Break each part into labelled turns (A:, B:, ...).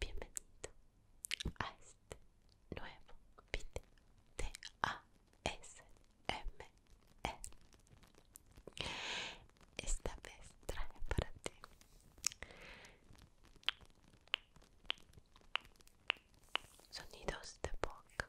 A: Bienvenido a este nuevo video de ASMR esta vez traje para ti sonidos de boca.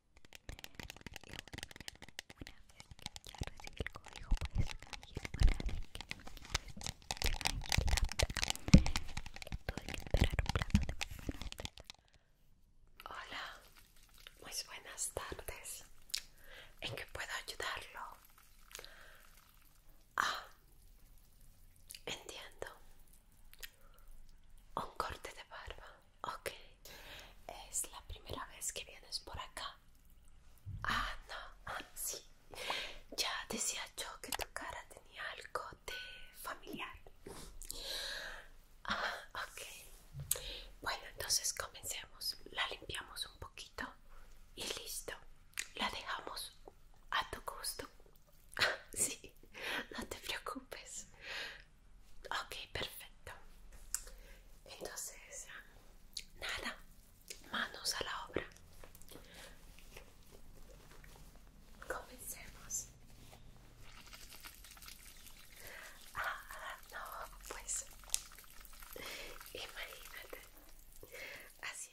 A: bueno, una vez que ya recibí el código, pues canjeé para que pues, tuve que esperar un plazo de minutos. Hola, muy buenas tardes. ¿En qué puedo ayudarlo? Ah, entiendo.
B: Un corte de barba, ok. Es la
A: primera vez que vienes por acá. Ah, no, ah, sí. Ya decía yo que tu cara tenía algo de familiar. Ah, ok. Bueno, entonces comencemos. La limpiamos un poquito y listo. La dejamos a tu gusto. Ah, sí, no te preocupes ok perfecto entonces nada manos a la obra comencemos ah no pues imagínate así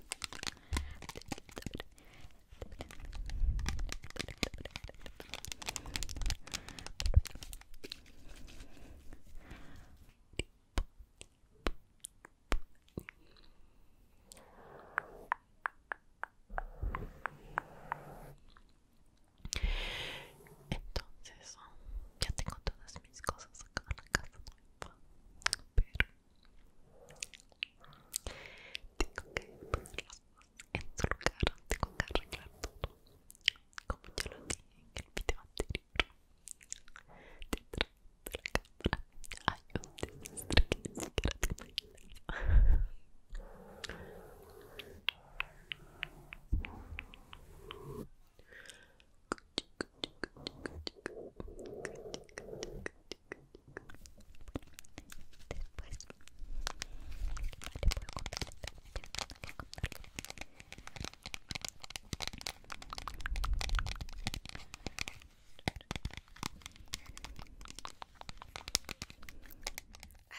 A: Entonces, ya tengo todas mis cosas acá en casa pero tengo que ponerla en su lugar, tengo que arreglar todo como ya lo dije en el video anterior detrás de la cámara hay un desastre que ni siquiera te imaginas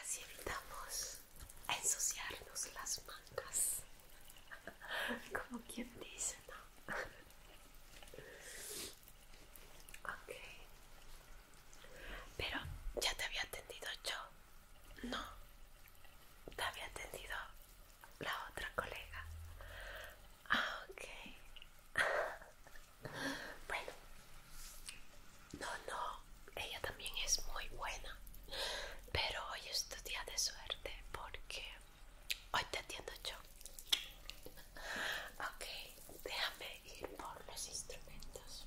A: Así evitamos ensuciarnos las mangas, como quien dice, ¿no? ok. Pero ya te había atendido yo. No. Te había atendido la otra colega. Ah, okay, ok. bueno. No, no. Ella también es muy buena. Pero hoy es tu día de suerte porque Hoy te atiendo yo. Ok, déjame ir por los instrumentos.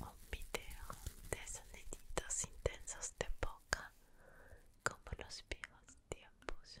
A: un video de soniditos intensos de boca como los viejos tiempos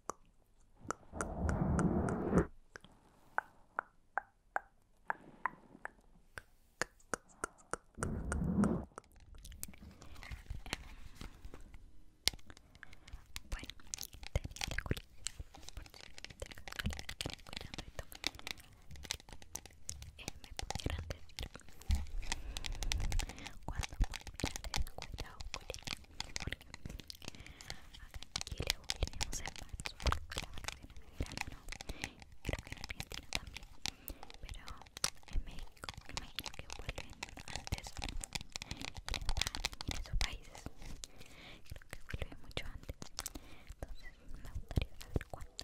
A: Bueno, tenía la curiosidad por si las me que eh, me pudieran decir cuando escuela o colegio, Aquí le volveremos a marzo las vacaciones de ¿no? creo que en Argentina también, pero en México me imagino que vuelven antes y en esos países creo que vuelven mucho antes, entonces me gustaría saber cuándo.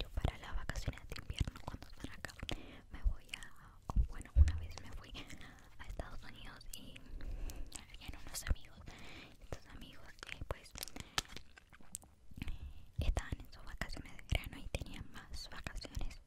B: Yo para las vacaciones de invierno cuando están acá me voy a, bueno una vez me fui a Estados Unidos y habían unos amigos, estos amigos
A: que pues estaban en sus vacaciones de verano y tenían más vacaciones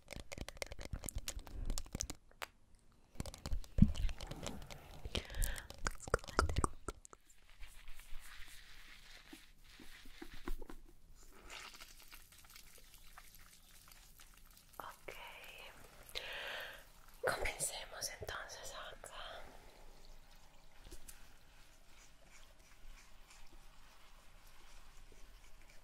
A: Ok, comencemos entonces acá.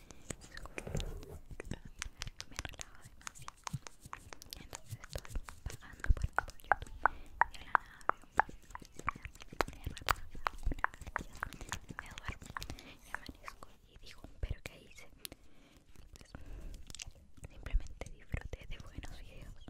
A: me relajaba demasiado entonces estoy pagando por YouTube y a la nada veo me duermo y amanezco y digo pero que hice simplemente disfruté de buenos videos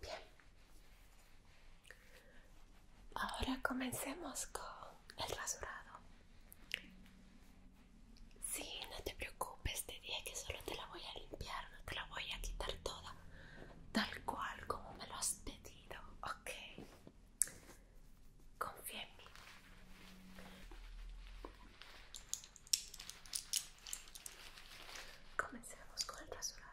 A: Bien, ahora comencemos con el rasurado. Sí, no te preocupes, te dije que solo te la voy a limpiar, no te la voy a quitar toda, tal cual como me lo has pedido, ok. Confía en mí. Comencemos con el traslado.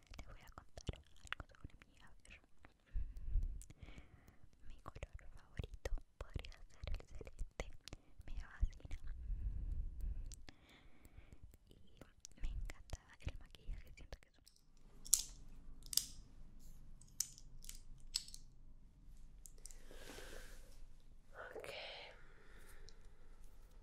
B: Te voy a contar algo sobre mí, a ver. Mm, mi color favorito podría ser el celeste, me fascina.
A: Y me encanta el maquillaje, siento que es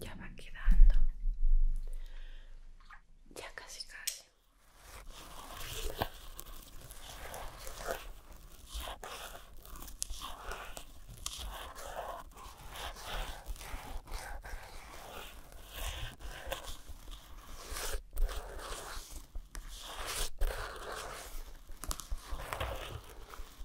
A: Ya va quedando. Ya casi casi.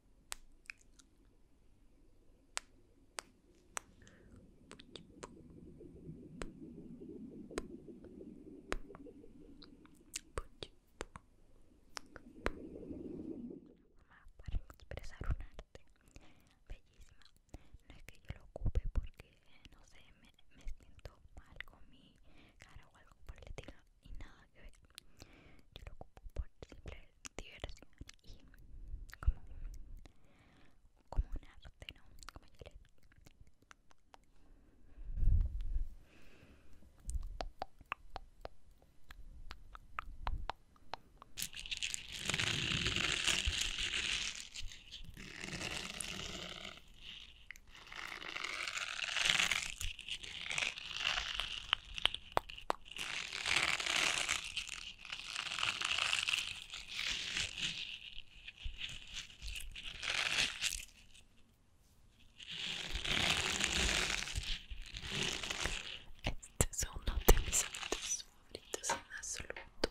A: para expresar un arte bellísima no es que yo lo ocupe porque no sé me, siento mal con mi cara o algo por el estilo y nada yo lo ocupo por simple diversión y como, como un arte, ¿no? Como yo le digo. Este es uno de mis sonidos favoritos en absoluto.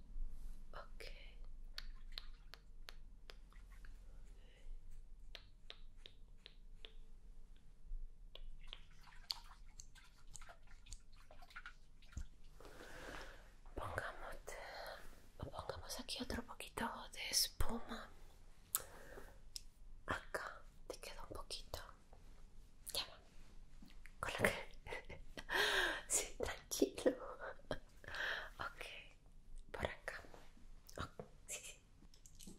A: Ok. Pongamos, pongamos aquí otro poquito de espuma. Acá te queda un poquito.
B: Ya con lo que sí, tranquilo ok por acá sí, sí.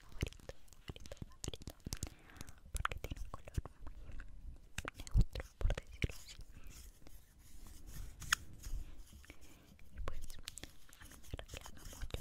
B: favorito, favorito, favorito porque tiene un color muy neutro, por decirlo así y pues a mí me reclama mucho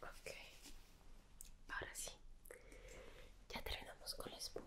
A: Okay, ahora sí, ya terminamos con la espuma.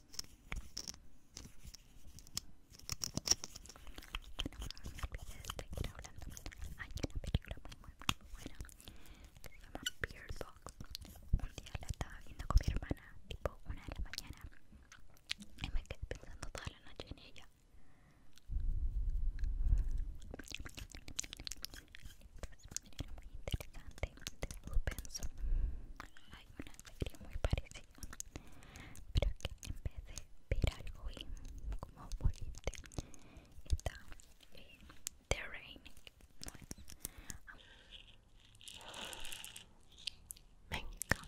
A: me seguir hablando Hay una película muy buena que se llama Beard Box. Un día la estaba viendo con mi hermana, tipo una de la mañana, y me quedé pensando toda la noche en ella muy interesante lo pensó hay una serie muy parecida pero que en vez de ver algo y como volviste está eh, The Rain no es me encanta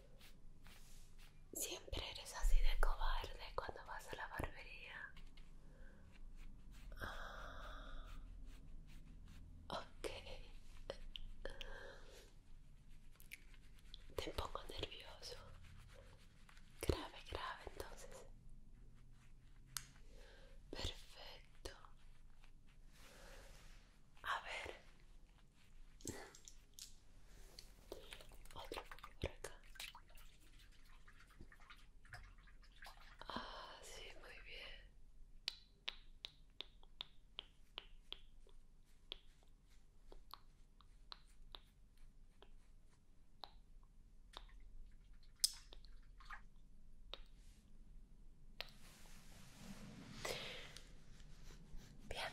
A: Siempre eres así de cobarde cuando vas a la barbería.
B: Ah, ok.
A: Te pongo nervioso. Grave, grave entonces. Perfecto. A ver, otro poco por acá. Ah, sí, muy bien.
B: Bien,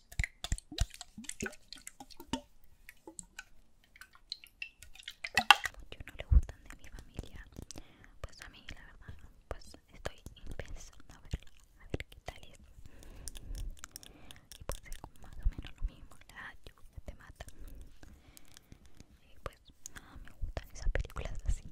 B: Muchos no le gustan de mi familia. Pues a mí, la verdad, pues estoy pensando a ver, a ver qué tal es. Y pues es más o menos lo mismo, la ah, ayuda te mata. Y pues nada, me gustan esas películas así.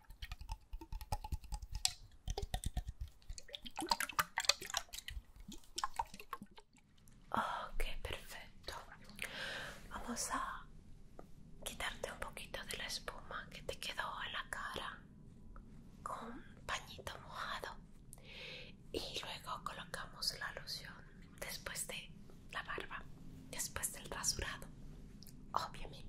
A: Ok, perfecto. Vamos a quitarte un poquito de la espuma que te quedó en la cara con un pañito mojado y luego colocamos la loción después de la barba, después del rasurado, obviamente.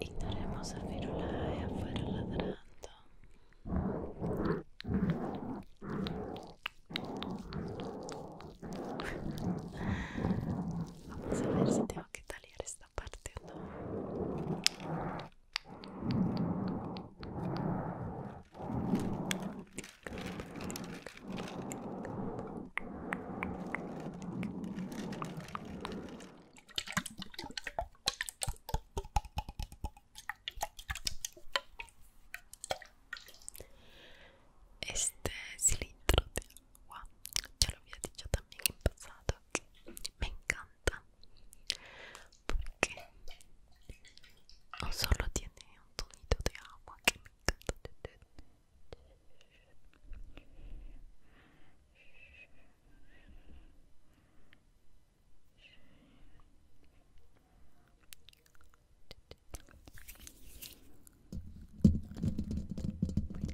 B: Ignoremos a Tic, afuera ladrando. Vamos a ver si tengo que taliar esto esta este cilindro
A: de agua ya lo había dicho también en pasado me encanta porque solo tiene un tonito de agua que me encanta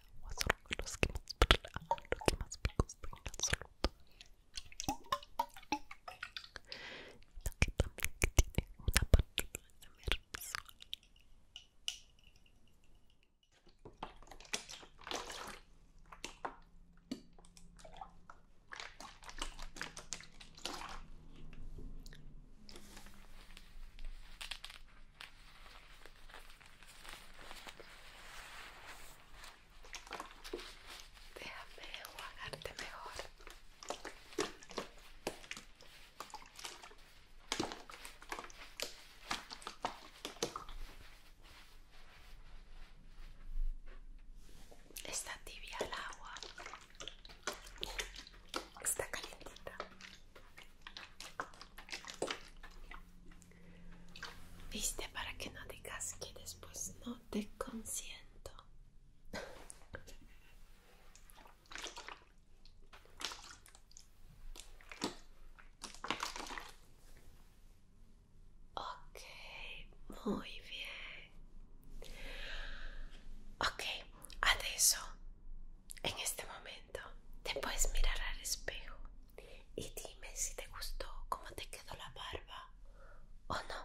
A: o agua son los que más, los que más picos en absoluto. Que también que tiene una parte de la visual. Déjame jugarte mejor. Está tibia el agua. Está calientita. Viste para que no digas que después no te consiento. ok, muy bien. Ok, adesso en este momento te puedes mirar al espejo y dime si te gustó cómo te quedó la barba o no.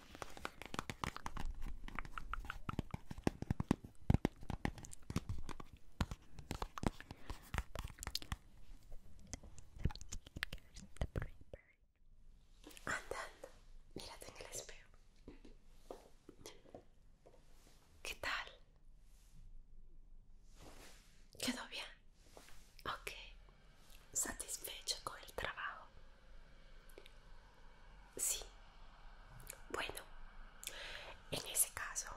A: Andando, mírate en el espejo. ¿Qué tal? ¿Quedó bien? Okay. ¿Satisfecho con el trabajo? Sí. Bueno, en ese caso,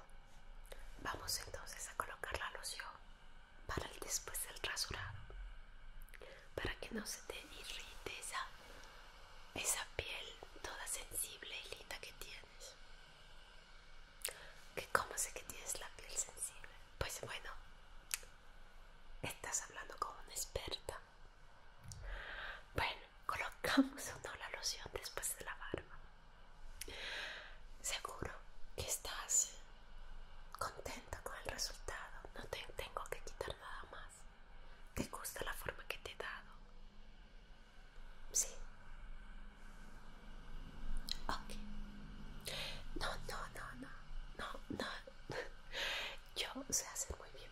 A: vamos entonces a colocar la loción para el después del rasurado, para que no se te irrite esa, piel toda sensible y linda que tienes. Que cómo sé que tienes la piel sensible. Pues bueno, estás hablando con una experta. Bueno, colocamos o no la loción después de la barba. Seguro que estás contenta con el resultado. No te tengo que quitar nada más. ¿Te gusta la forma que te he dado? Sí. Ok. No, no, no, no. No, no. Yo sé hacer muy bien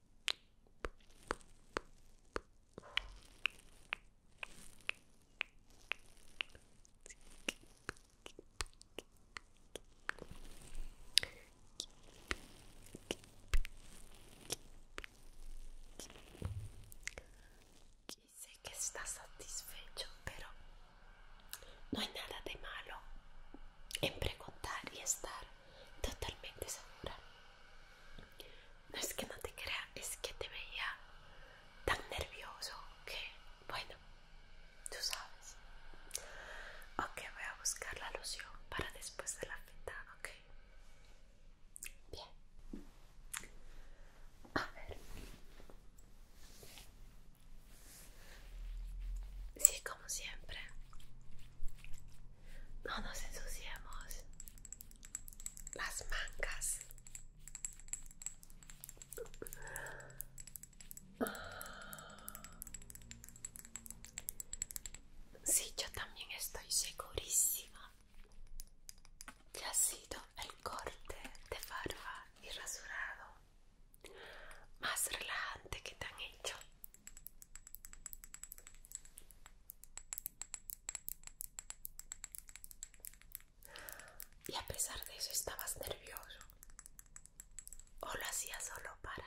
A: Y sé que está satisfecho, pero no hay nada de malo en preguntar y estar totalmente segura. No es que no te crea, es que te veía tan nervioso que, bueno, tú sabes. Ok, voy a buscar la alusión para después de la fiesta ok. Bien. A ver. Sí, como siempre. No nos ensuciemos las mangas. Sí, yo también estoy segurísima ya ha sido el corte de barba y rasurado más relajante que te han hecho. Y a pesar de eso estabas nervioso. O lo hacías solo para...